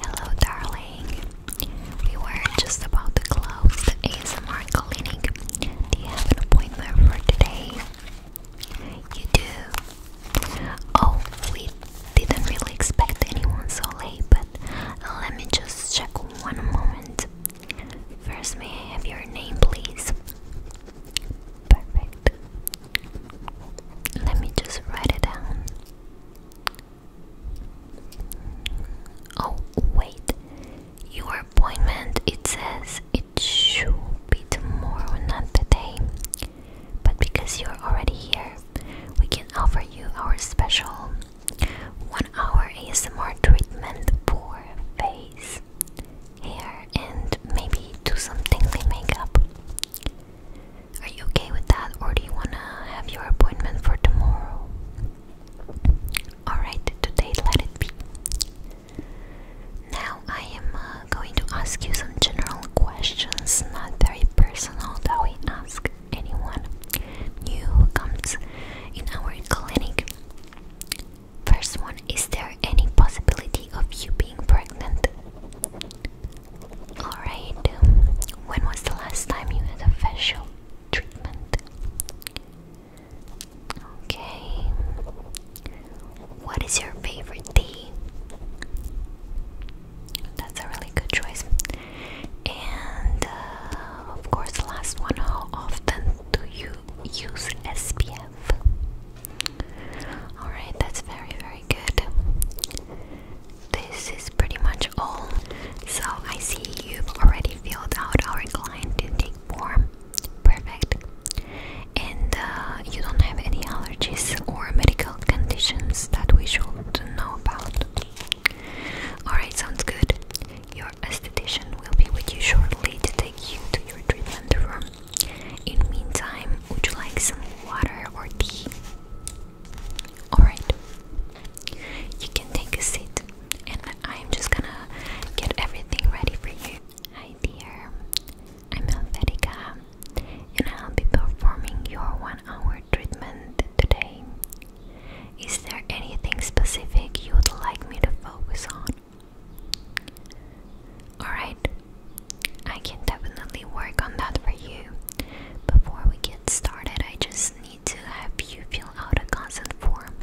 Hello, darling. We were just about to close the ASMR clinic. Do you have an appointment for today? You do. Oh, we didn't really expect anyone so late, but let me just check one moment. First, may I have your name, please? Perfect. Let me just write it down. Oh, wait. Your appointment, it says it should be tomorrow, not today. But because you're already here, we can offer you our special 1 hour ASMR treatment for face, hair, and maybe do some tingly makeup. Are you okay with that, or do you wanna have your appointment for tomorrow? Alright, today let it be. Now I am uh, going to ask you some general questions, not very personal, that we ask anyone new who comes in our clinic. First one, is there any possibility of you being pregnant? Alright, when was the last time you had a facial treatment? Okay. What is your favorite tea? That's a really good choice. And uh, of course, the last one how often do you use SPF? Alright, that's very, very good this is pretty much all. So I see you've already filled out our client intake form. Perfect. And uh, you don't have any allergies or medical conditions that we should know about. Alright, sounds good. Your esthetician will be with you shortly to take you to your treatment room. In the meantime, would you like some water or tea? Alright. You can take a seat, and I'm just gonna get everything ready for you. Hi, dear. I'm Helvetica, and I'll be performing your one hour treatment today. Is there anything specific you would like me to focus on? Alright, I can definitely work on that for you. Before we get started, I just need to have you fill out a consent form.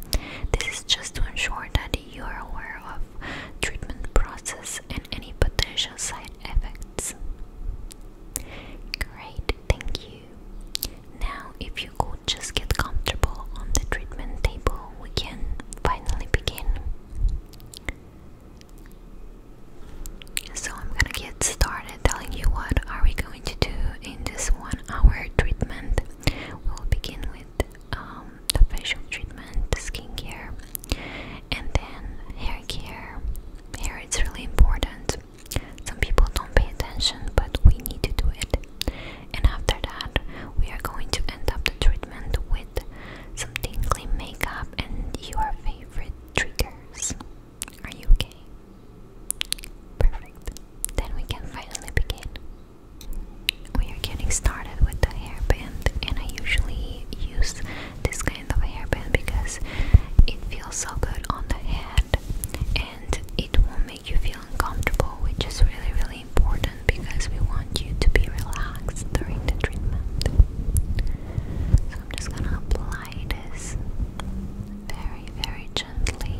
This is just to ensure that you are aware of treatment process and any potential side effects. Great, thank you. Now, if you could just get comfortable on the treatment table, we can finally begin. So I'm gonna get started telling you what are we going to do in this one hour treatment. We'll begin with um, the facial treatment, the skincare, and then hair care. Hair it's really important. Some people don't pay attention, but we need to do it. And after that, we are going to end up the treatment with some tingly makeup and your favorite triggers. Are you okay? Perfect. Then we can finally begin. We are getting started with the hairband, and I usually use this kind of hairband because it feels so good on the head and it won't make you feel uncomfortable, which is really, really important because we want you to be relaxed during the treatment. So I'm just gonna apply gliders very, very gently.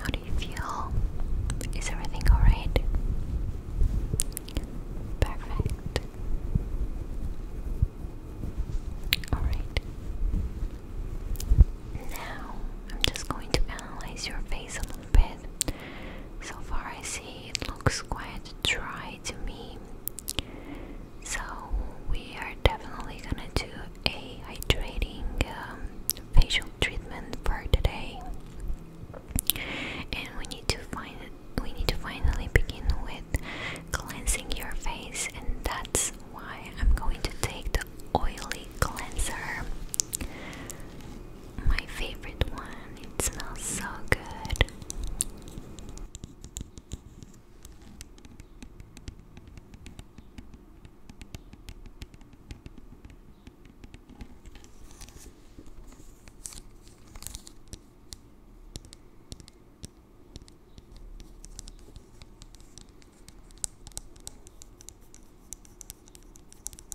How do you feel? Is everything alright? Perfect. Alright. Now, I'm just going to analyze your face a little bit. So far, I see it looks quite dry to me. So, we are definitely gonna do a hydrating um, facial treatment for today. And we need to find we need to finally begin with cleansing your face, and that's why I'm going to take the oily cleanser my favorite one. It smells so good.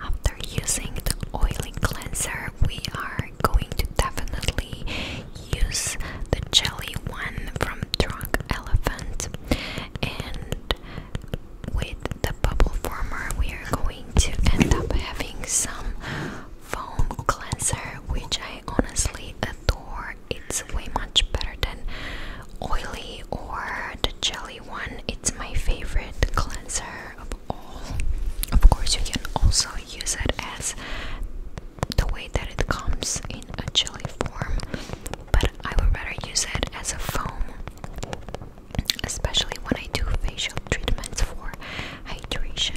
After using the oily cleanser, we are going to definitely use the jelly one from Drunk Elephant, and with the bubble former, we are going to end up having some foam cleanser, which I honestly adore. It's way much better than oily or the jelly one. It's my favorite cleanser of all. Of course, you can also use it as the way that it comes in a jelly form, but I would rather use it as a foam, especially when I do facial treatments for hydration.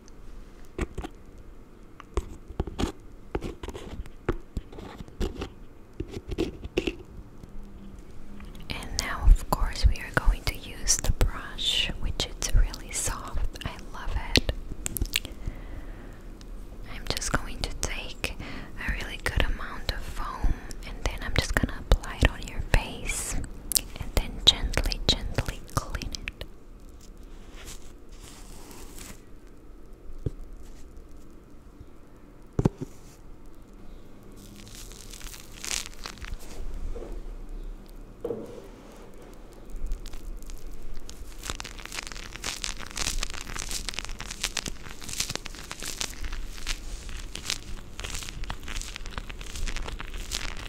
And now, of course, we are going to use the brush, which it's really soft. I love it. I'm just going to take a really good amount of foam and then I'm just gonna apply it on your face and then gently, gently clean it.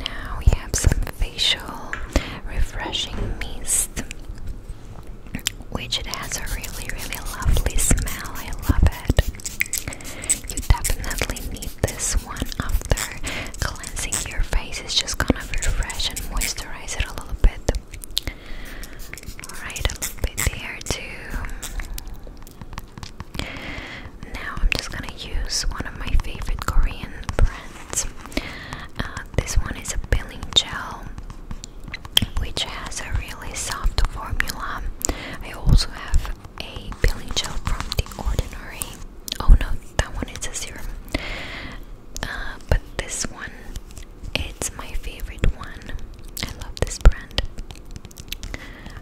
Now we have some facial refreshing mist which it has a really really lovely smell. I love it. You definitely need this one after cleansing your face. It's just gonna refresh and moisturize it a little bit. Alright, a little bit there too. Now I'm just gonna use one of my favorite Korean brands. Uh, this one is a peeling gel which has a really soft formula. I also have a peeling gel from The Ordinary. Oh no, that one is a serum. Uh, but this one, it's my favorite one. I love this brand.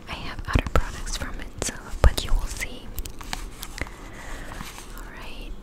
I have other products from it, but you will see. Alright.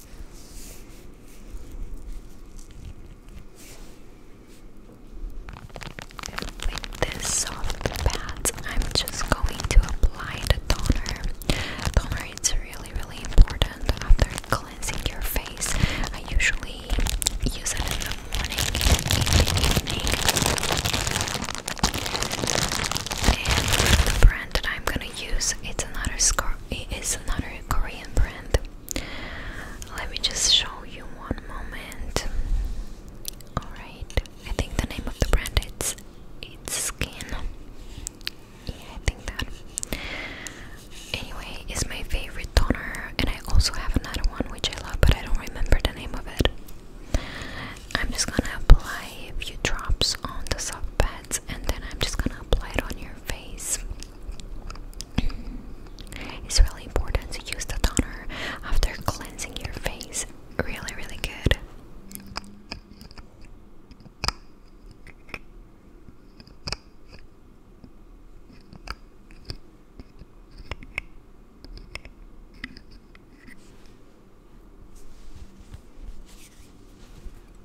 With this soft pad, I'm just going to apply the toner. Toner is really, really important after cleansing your face. I usually use it in the morning And the brand that I'm gonna use. It's another It is another Korean brand. Let me just show you one moment. All right. I think the name of the brand it's it's Skin. Yeah, I think that. Anyway, it's my favorite toner, and I also have another one which I love, but I don't remember the name of it. I'm just gonna apply a few drops on the soft pad and then I'm just gonna apply it on your face. it's really important to use the toner after cleansing your face. Really, really good.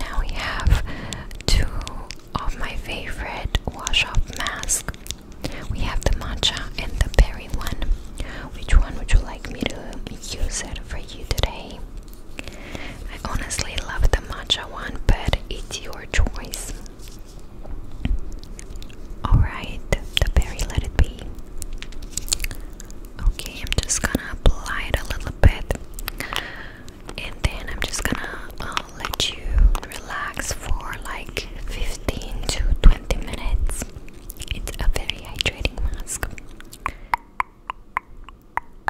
Now we have two of my favorite wash off masks. We have the matcha and the berry one. Which one would you like me to use it for you today? I honestly love the matcha one, but it's your choice. Alright, the berry let it be. Okay, I'm just gonna apply it a little bit and then I'm just gonna uh, let you relax for like 15 to 20 minutes. It's a very hydrating mask.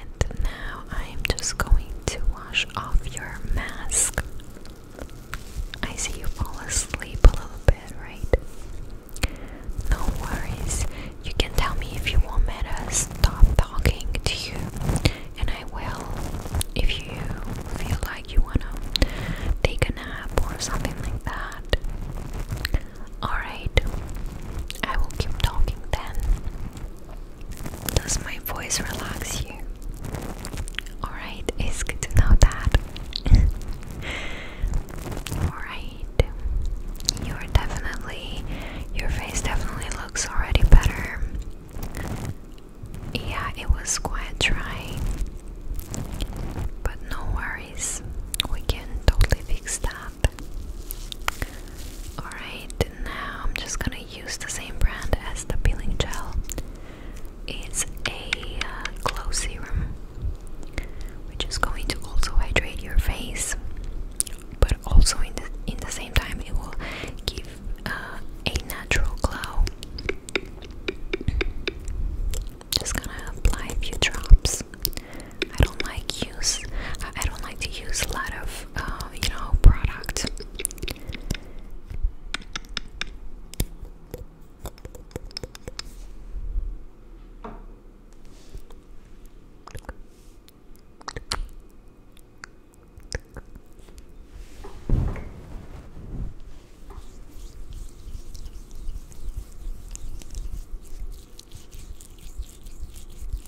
And now I'm just going to wash off your mask. I see you fall asleep a little bit, right? No worries. You can tell me if you want me to stop talking to you, and I will. If you feel like you wanna take a nap or something like that. Alright, I will keep talking then. Does my voice relax you? Alright, it's good to know that. Alright. You're definitely your face definitely looks already better. Yeah, it was quite trying, But no worries. We can totally fix that. Alright, now I'm just gonna use the same brand as the peeling gel. It's a uh, glow serum, which is going to also hydrate your face, but also in the in the same time it will give uh, a natural glow. Just gonna apply a few drops. I don't like use. I don't like to use a lot of, uh, you know, product.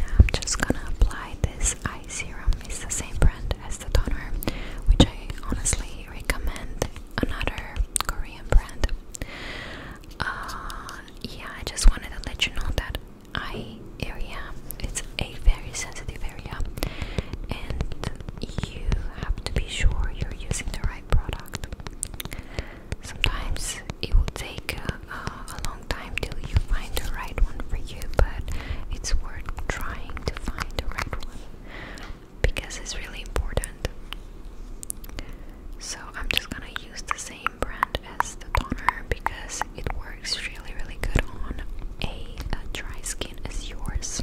Now I'm just gonna apply this eye serum. It's the same brand as the toner, which I honestly recommend. Another Korean brand. Uh, yeah, I just wanted to let you know that eye area it's a very sensitive area, and you have to be sure you're using the right product. Sometimes it will take uh, a long time till you find the right one for you, but it's worth trying to find the right one because it's really important. So, I'm just gonna use the same brand as the toner because it works really, really good on a dry skin as yours.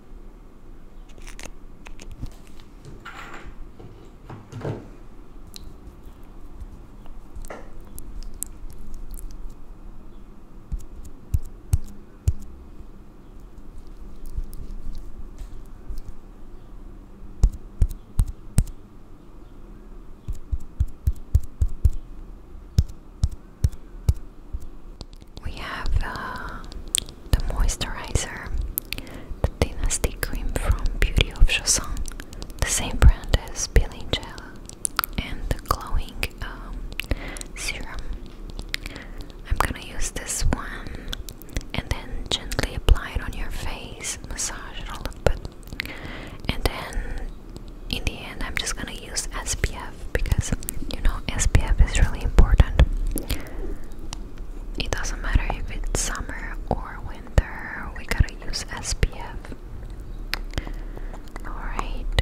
We have uh, the moisturizer the dynasty Cream from Beauty of Joseon, the same brand as Bilangela, and the glowing um, serum. I'm gonna use this one and then gently apply it on your face, massage it a little bit, and then in the end, I'm just gonna use SPF because you know SPF is really important. It doesn't matter if it's summer or winter, we gotta use SPF. Alright.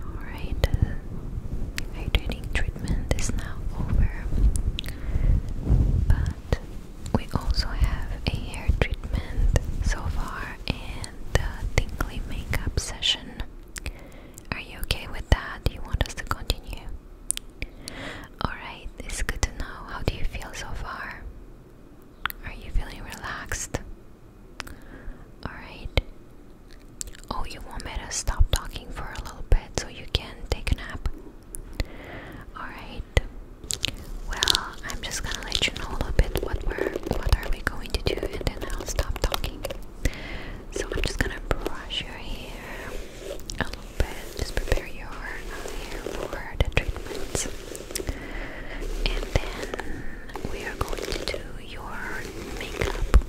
Alright, uh, the hydrating treatment is now over, but we also have a hair treatment so far and the tingly makeup session. Are you okay with that? Do you want us to continue? Alright, it's good to know. How do you feel so far? Are you feeling relaxed? Alright. Oh, you want me to stop talking for a little bit so you can take a nap? Alright. Well, I'm just gonna let you know a little bit what we're what are we going to do and then I'll stop talking. So I'm just gonna brush your hair a little bit, just prepare your uh, hair for the treatment. And then we are going to do your makeup.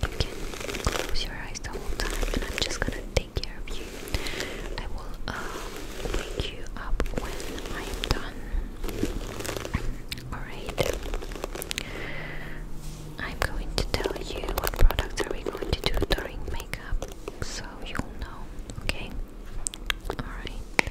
You can close your eyes the whole time, and I'm just gonna take care of you. I will um, wake you up when I am done. Alright. I'm going to tell you what products are we going to do during makeup so you'll know, okay? Alright.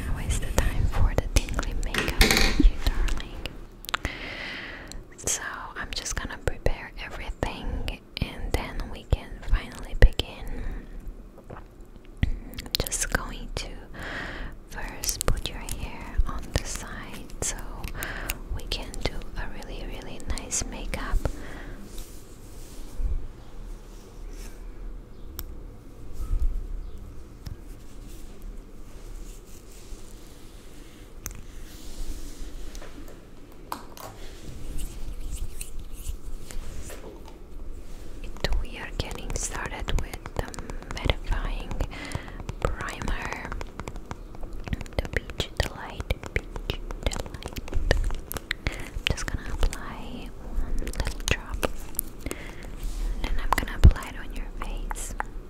Now is the time for the tingly makeup, you darling. So I'm just gonna prepare everything and then we can finally begin. Just going to first put your hair on the side so we can do a really, really nice makeup we are getting started with the mattifying primer. The peach delight, just gonna apply one little drop, and then I'm gonna apply it on your face.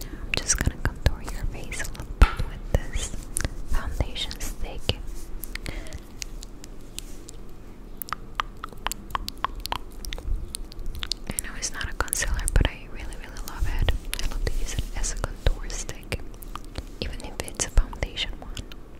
I'm just gonna contour your face a little bit with this foundation stick. I know it's not a concealer, but I really, really love it. I love to use it as a contour stick, even if it's a foundation one.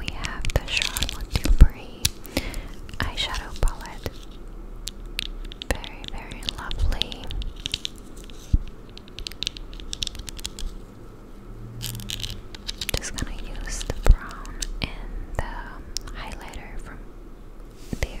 We have the Charlotte Tilbury eyeshadow palette. Very, very lovely. Just gonna use the brown and the highlighter from there.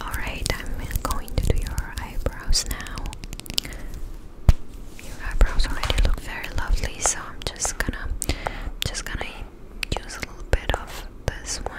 Alright, I'm going to do your eyebrows now. Your eyebrows already look very lovely, so I'm just gonna just gonna use a little bit of this one.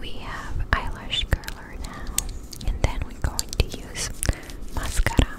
We have eyelash curler now, and then we're going to use mascara.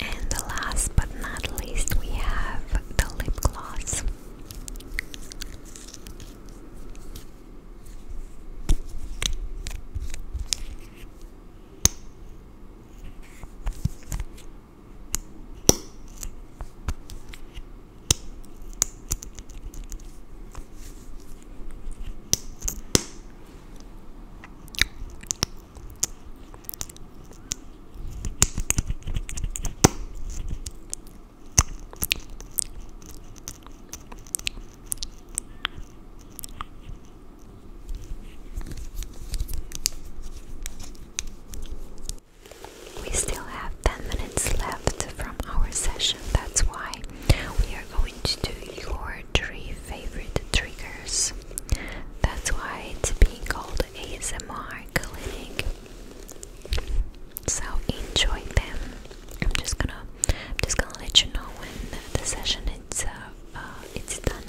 And the last but not least, we have the lip gloss. We still have 10 minutes left from our session, that's why we are going to do your three favorite triggers. That's why it's being called ASMR clinic. So enjoy them. I'm just gonna, just gonna let you know when the session it's uh, it's done.